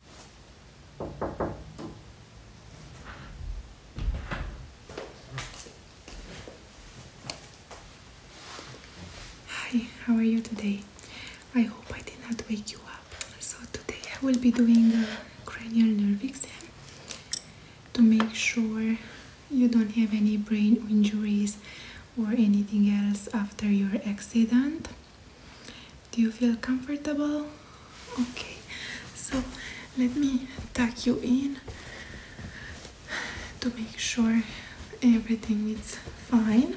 Hi, how are you today? I hope I did not wake you up. So today I will be doing a cranial nerve exam to make sure you don't have any brain injuries or anything else after your accident. Do you feel comfortable? Okay, so let me tuck you in to make sure everything is fine.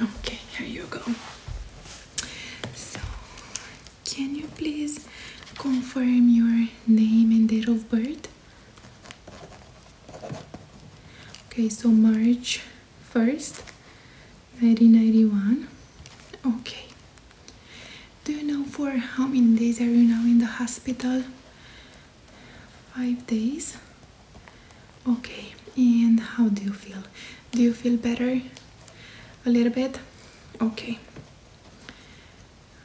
Okay, here you go. So, can you please confirm your name and date of birth? okay so March 1st 1991 okay do you know for how many days are you now in the hospital five days okay and how do you feel do you feel better a little bit okay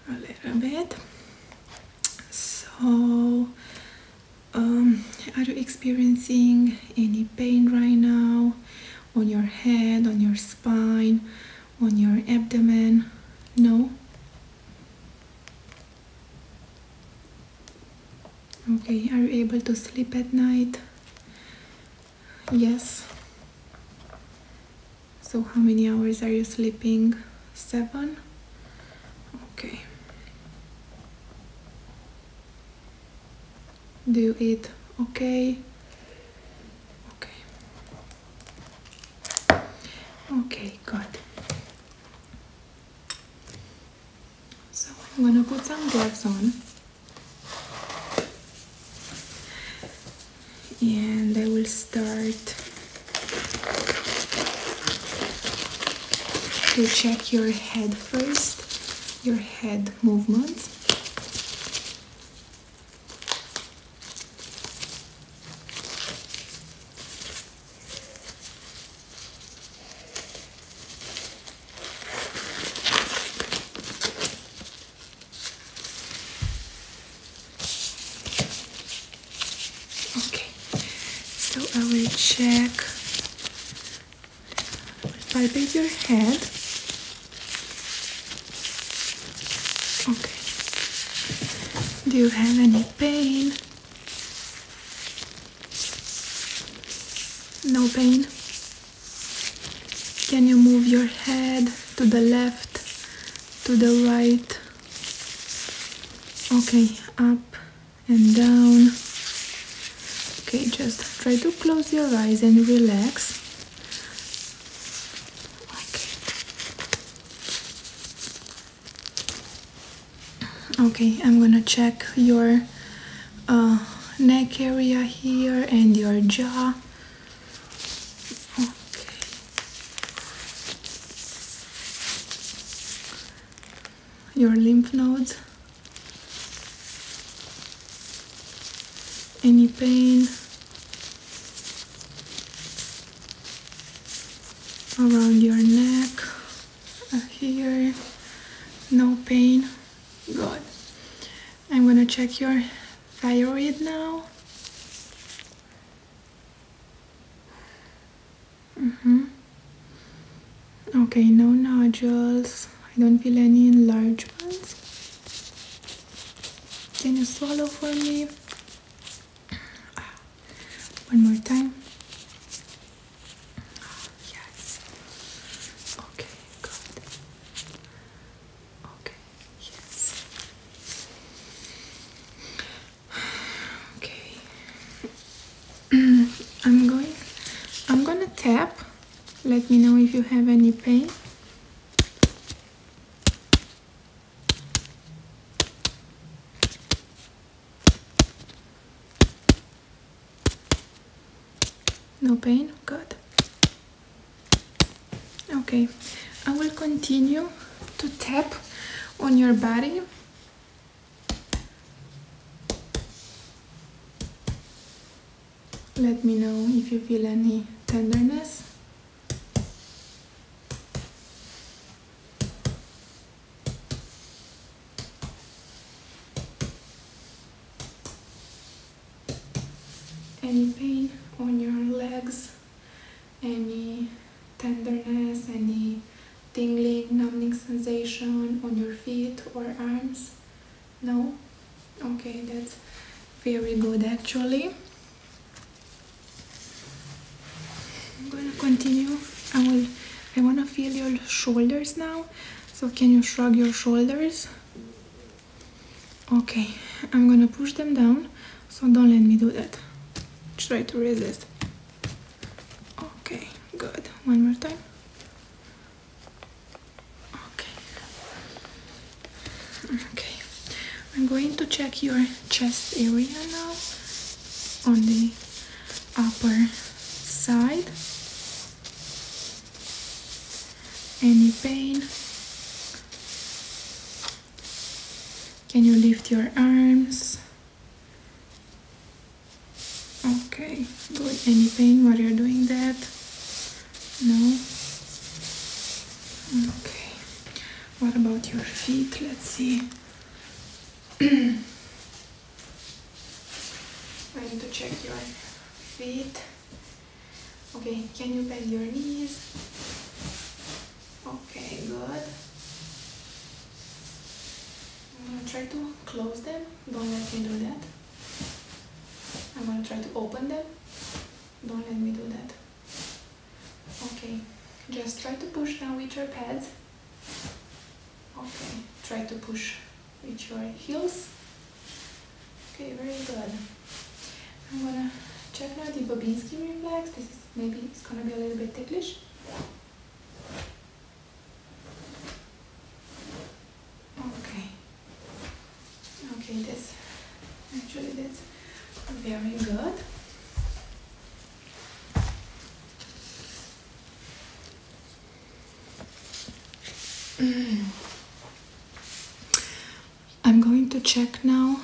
a little bit so um, are you experiencing any pain right now on your head, on your spine, on your abdomen? No? Okay, are you able to sleep at night? Yes. So how many hours are you sleeping? seven okay do it okay okay okay good so I'm gonna put some gloves on and I will start to check your head first, your head movement. Okay, so I will check if I palpate your head. Okay, do you have any pain? No pain? Can you move your head to the left, to the right? Okay, up and down. Okay, just try to close your eyes and relax. Okay, I'm gonna check your uh, neck area here and your jaw. Okay your lymph nodes, any pain around your neck, uh, here, no pain, good. I'm gonna check your thyroid now. Mm -hmm. Okay, no nodules. I don't feel any enlargements. Can you swallow for me? Ah, one more time. Ah, yes. Okay, good. Okay, yes. Okay. I'm going I'm gonna tap. Let me know if you have any pain. No pain? Good. Okay, I will continue to tap on your body let me know if you feel any tenderness. Any pain on your legs, any tenderness, any tingling, numbing sensation on your feet or arms? No? Okay, that's very good actually. I'm gonna continue. I will I wanna feel your shoulders now. So can you shrug your shoulders? Okay, I'm gonna push them down, so don't let me do that. Try to resist. Okay, good. One more time. Okay. Okay. I'm going to check your chest area now on the upper side. Any pain? Can you lift your arms? Okay, do any pain while you're doing that? No? Okay, what about your feet? Let's see. I need to check your feet. Okay, can you bend your knees? Okay, good. I'm going to try to close them. Don't let me do that. I'm going to try to open them. Don't let me do that. Okay, just try to push down with your pads. Okay, try to push with your heels. Okay, very good. I'm gonna check now the Babinski reflex. This is maybe it's gonna be a little bit ticklish okay okay that's actually that's very good I'm going to check now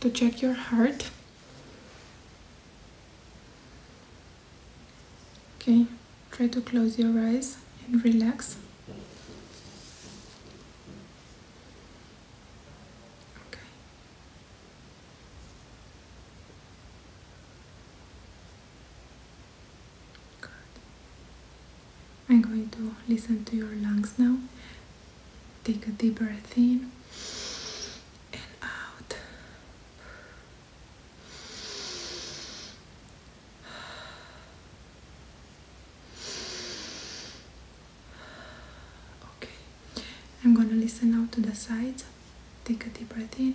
to check your heart Okay, try to close your eyes and relax. I'm going to listen to your lungs now Take a deep breath in and out. Okay, I'm gonna listen now to the sides. Take a deep breath in.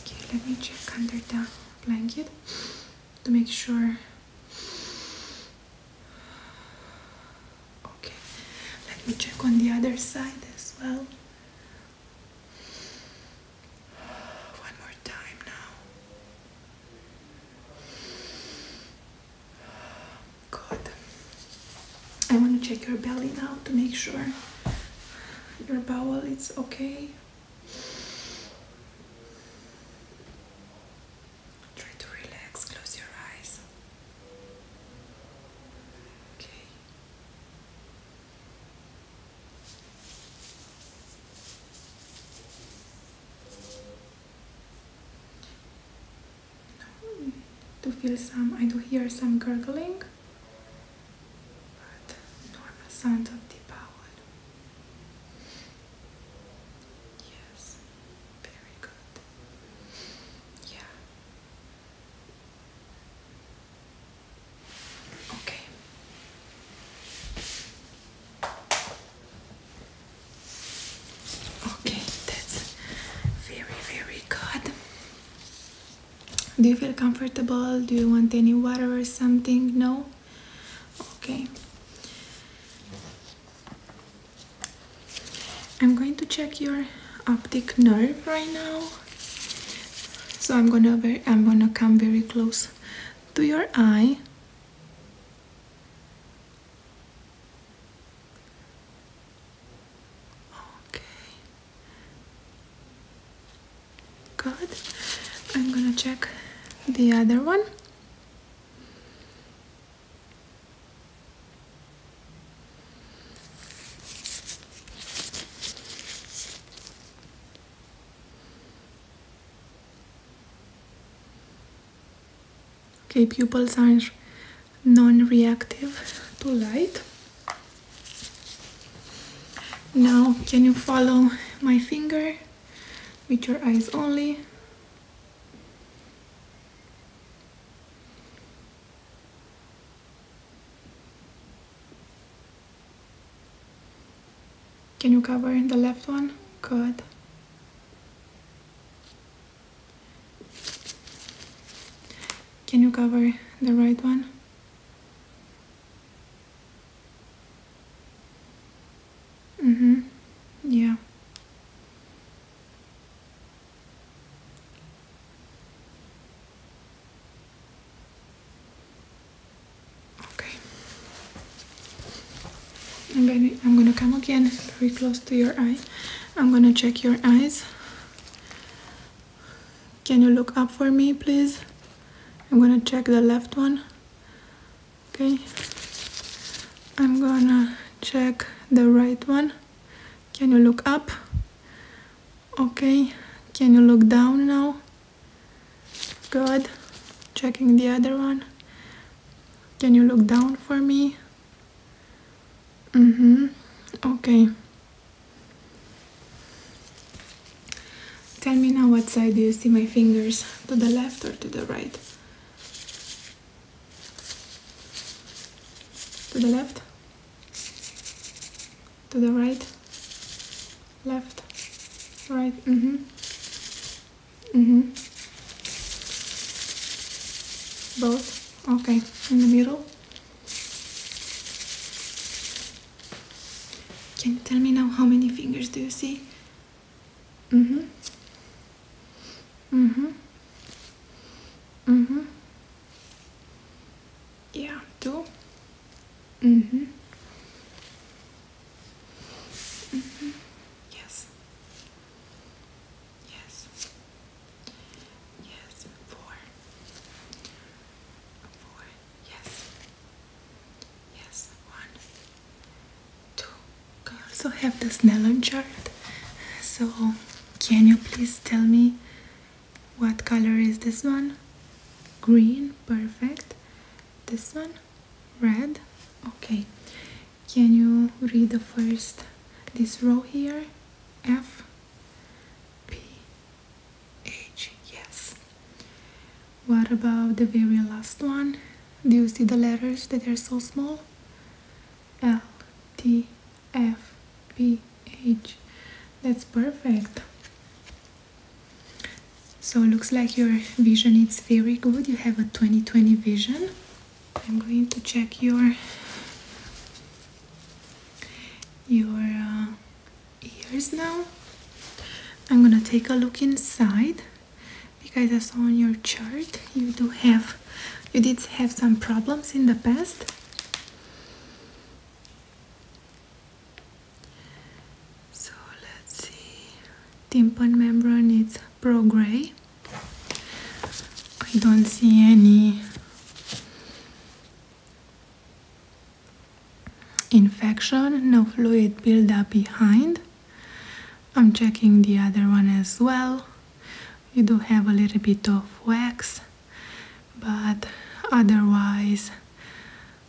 Okay, let me check under the blanket to make sure Okay, let me check on the other side as well. One more time now. Good. I want to check your belly now to make sure your bowel is okay. Try to relax, close your eyes. Okay. No, do feel some, I do hear some gurgling, normal sound of the bowel. Yes. Very good. Yeah. Okay. Okay, that's very, very good. Do you feel comfortable? Do you want any water or something? No? Okay. I'm going to check your optic nerve right now. So I'm gonna I'm gonna come very close to your eye. Okay. Good. I'm gonna check the other one. Okay, pupils are non-reactive to light. Now, can you follow my finger with your eyes only? Can you cover the left one? Good. Can you cover the right one? Mm-hmm. Yeah. Okay. And baby, I'm gonna come again very close to your eye. I'm gonna check your eyes. Can you look up for me, please? I'm gonna check the left one okay I'm gonna check the right one can you look up okay can you look down now good checking the other one can you look down for me mm-hmm okay tell me now what side do you see my fingers to the left or to the right to the left, to the right, left, right, mm-hmm, mm-hmm, both, okay, in the middle. Can you tell me now how many fingers do you see? Mm-hmm. Mm-hmm. Mm-hmm. Yeah, du. Mm-hmm. Mm-hmm. Yes. Yes. Yes. Four. Four. Yes. Yes. One two cards. have the Snellen chart. So, can you please tell me what color is this one? Green, perfect. This one, red. Okay. Can you read the first this row here? F P H. Yes. What about the very last one? Do you see the letters that are so small? L, T, F, P, H. That's perfect. So looks like your vision is very good. You have a twenty twenty vision. I'm going to check your your uh, ears now. I'm gonna take a look inside because I saw on your chart you do have you did have some problems in the past so let's see tympan membrane is pro gray I don't see any infection no fluid buildup behind I'm checking the other one as well. You do have a little bit of wax, but otherwise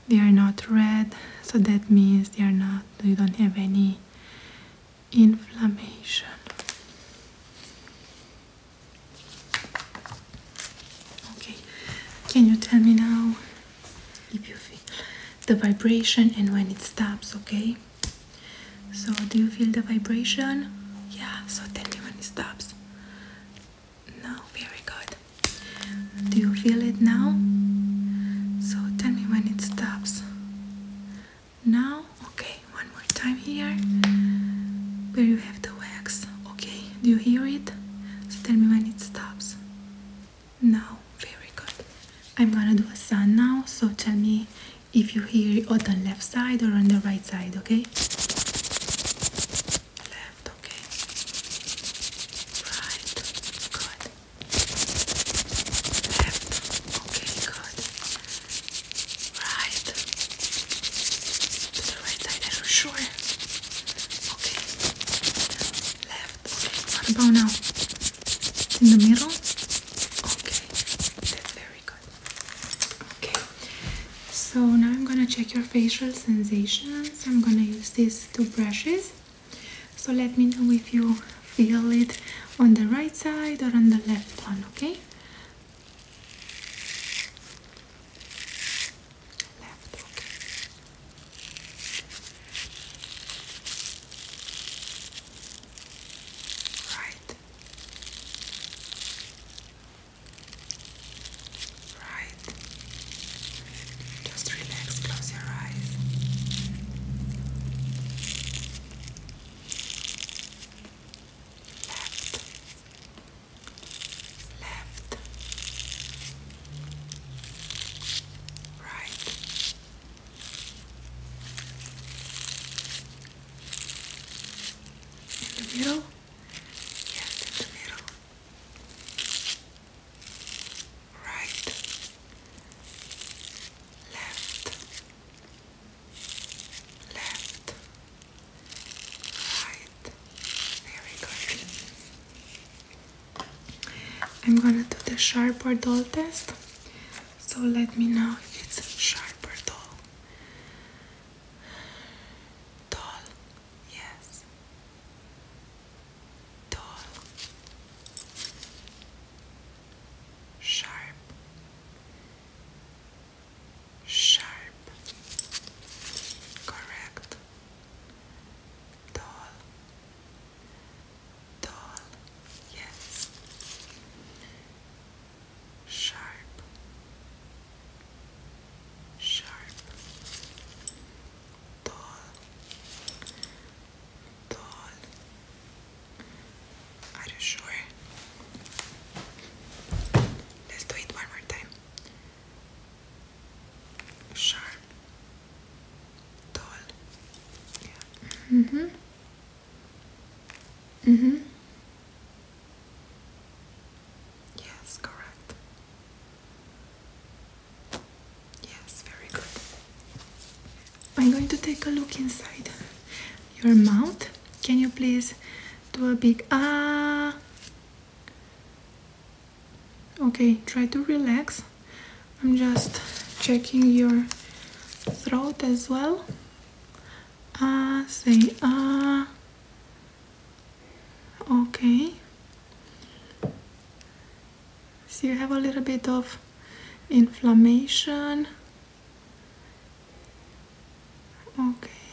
they are not red, so that means they are not, you don't have any inflammation. Okay, can you tell me now if you feel the vibration and when it stops, okay? So do you feel the vibration? Yeah, so tell me when it stops. No, very good. Do you feel it now? So tell me when it stops. Now, okay, one more time here where you have the wax. Okay, do you hear it? So tell me when it stops. No. Very good. I'm gonna do a sun now, so tell me if you hear it on the left side or on the right side, okay? Left, okay. Right, good. Left, okay, good. Right. To the right side, I'm sure. Okay. Left, okay. What about now? In the middle? Okay, that's very good. Okay, so now I'm gonna check your facial sensations. I'm gonna use these two brushes. So let me know if you feel it on the right side or on the left one, okay? Left, okay right, right. Just relax, close your eyes. Left, left, right. In the middle? Yes, in the middle. Right. Left. Left. Right. Very good. I'm gonna do the sharp or dull test so let me know if it's sharp or dull. yes. Dull. Sharp. Sharp. Correct. Dull. Dull, yes. Sharp, sharp. Dull, dull. Are you sure? Let's do it one more time. Sharp, dull. Yeah. Mm -hmm. Mm-hmm. Yes, correct. Yes, very good. I'm going to take a look inside your mouth. Can you please do a big ah? Okay, try to relax. I'm just checking your throat as well. Ah, uh, say ah. Okay. So you have a little bit of inflammation. Okay.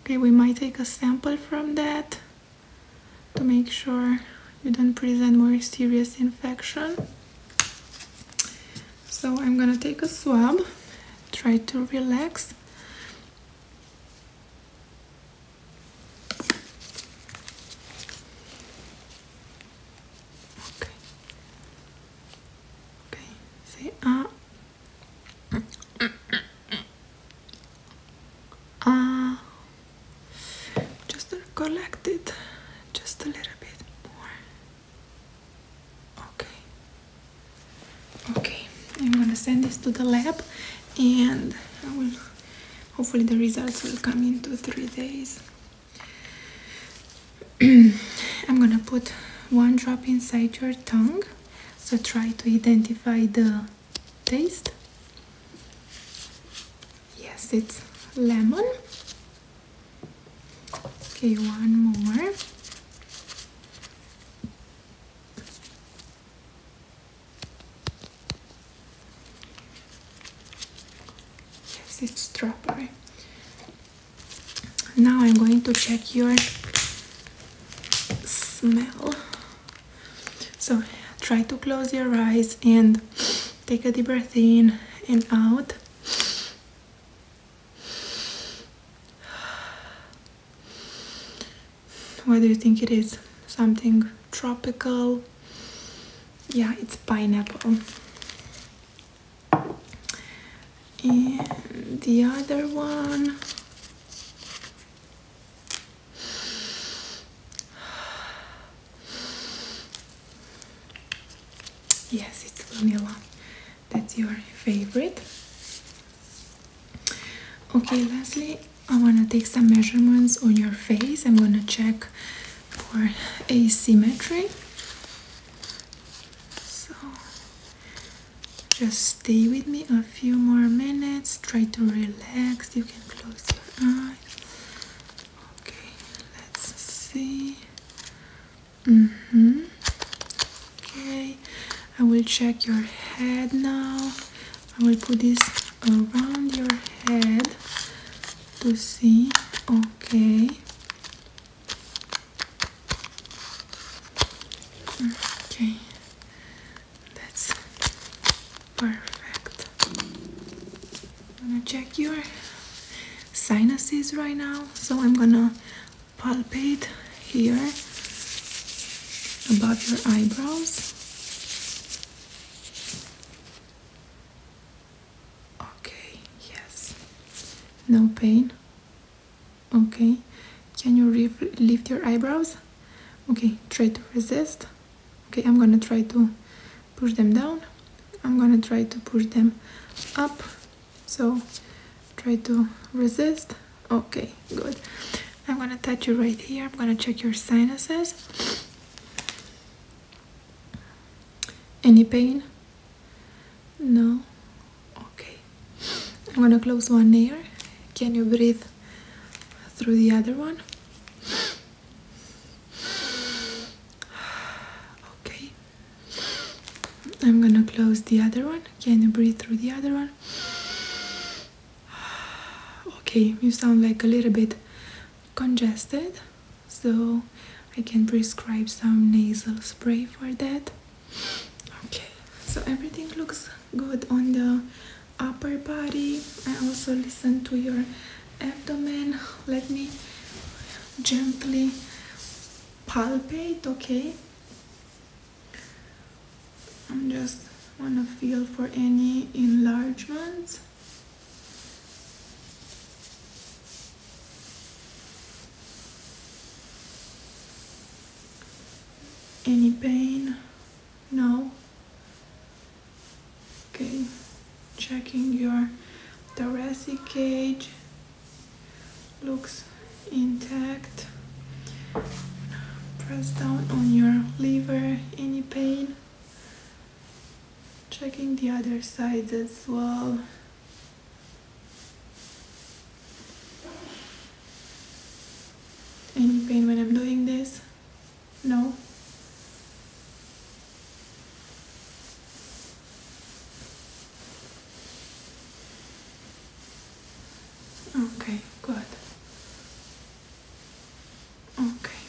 Okay, we might take a sample from that to make sure you don't present more serious infection. So I'm gonna take a swab, try to relax. Okay. Okay, say ah. Ah. Just collect it just a little bit more. Okay. Okay, I'm gonna send this to the lab and I will hopefully the results will come in two three days. I'm gonna put one drop inside your tongue so try to identify the taste yes it's lemon okay one more yes it's strawberry now I'm going to check your smell so try to close your eyes and take a deep breath in and out What do you think it is? Something tropical? Yeah, it's pineapple. the other one. Yes, it's vanilla. That's your favorite. Okay, lastly, I want to take some measurements on your face. I'm going to check for asymmetry. So, just stay with me a few more minutes. Try to relax. You can close your eyes. Okay, let's see. hmm. Okay, I will check your head now. I will put this around your head to see. Okay. Okay, that's perfect. I'm gonna check your sinuses right now. So I'm gonna palpate here above your eyebrows. Okay, yes. No pain. Okay. Can you lift your eyebrows? Okay, try to resist. Okay, I'm gonna try to push them down I'm gonna try to push them up so try to resist okay good I'm gonna touch you right here I'm gonna check your sinuses any pain no okay I'm gonna close one ear can you breathe through the other one Okay. I'm gonna close the other one. Can you breathe through the other one? Okay, you sound like a little bit congested, so I can prescribe some nasal spray for that. Okay, so everything looks good on the upper body. I also listen to your abdomen let me gently palpate okay i'm just want to feel for any enlargement, any pain no okay checking your thoracic cage looks intact press down on your liver any pain checking the other sides as well any pain when I'm doing this no Okay, good. Okay.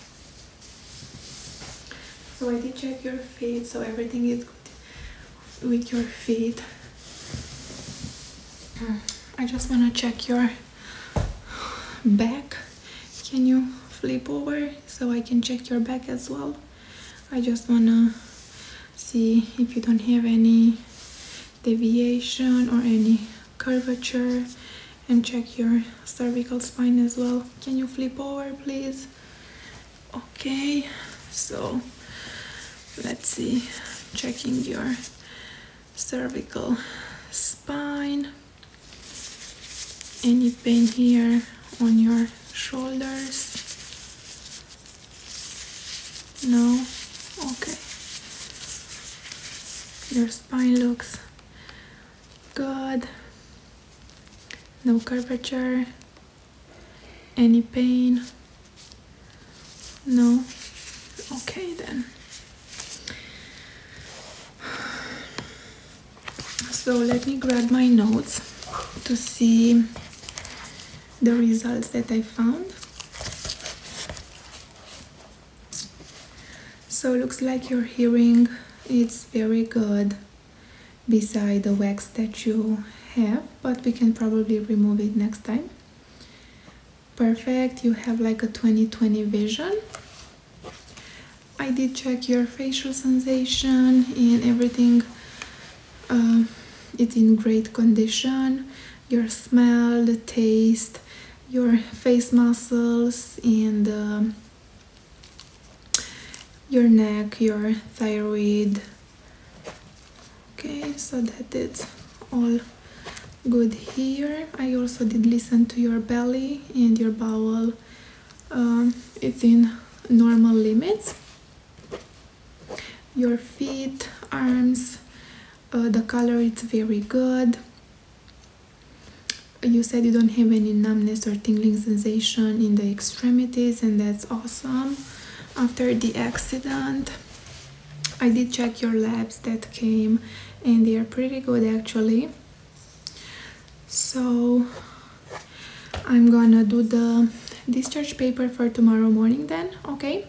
So I did check your feet, so everything is good with your feet. Mm, I just want to check your back. Can you flip over so I can check your back as well? I just wanna see if you don't have any deviation or any curvature and check your cervical spine as well can you flip over please okay so let's see checking your cervical spine any pain here on your shoulders? No? Okay. Your spine looks good. No curvature. Any pain? No? Okay then. So let me grab my notes to see the results that I found. So looks like your hearing is very good beside the wax that you have, but we can probably remove it next time. Perfect, you have like a twenty-twenty vision. I did check your facial sensation and everything um, it's in great condition your smell, the taste, your face muscles and um, your neck, your thyroid okay so that it's all good here I also did listen to your belly and your bowel um, it's in normal limits your feet arms uh, the color it's very good you said you don't have any numbness or tingling sensation in the extremities and that's awesome after the accident I did check your labs that came and they are pretty good actually so I'm gonna do the discharge paper for tomorrow morning then okay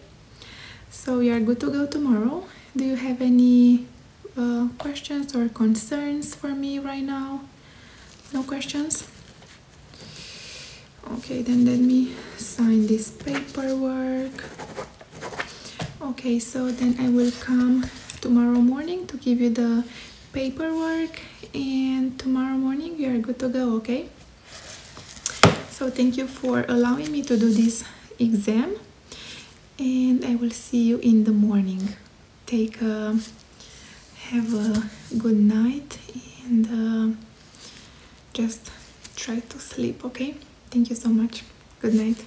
so we are good to go tomorrow do you have any uh, questions or concerns for me right now no questions okay then let me sign this paperwork okay so then I will come tomorrow morning to give you the paperwork and tomorrow morning you are good to go, okay? So thank you for allowing me to do this exam and I will see you in the morning. Take a, uh, have a good night and uh, just try to sleep, okay? Thank you so much. Good night.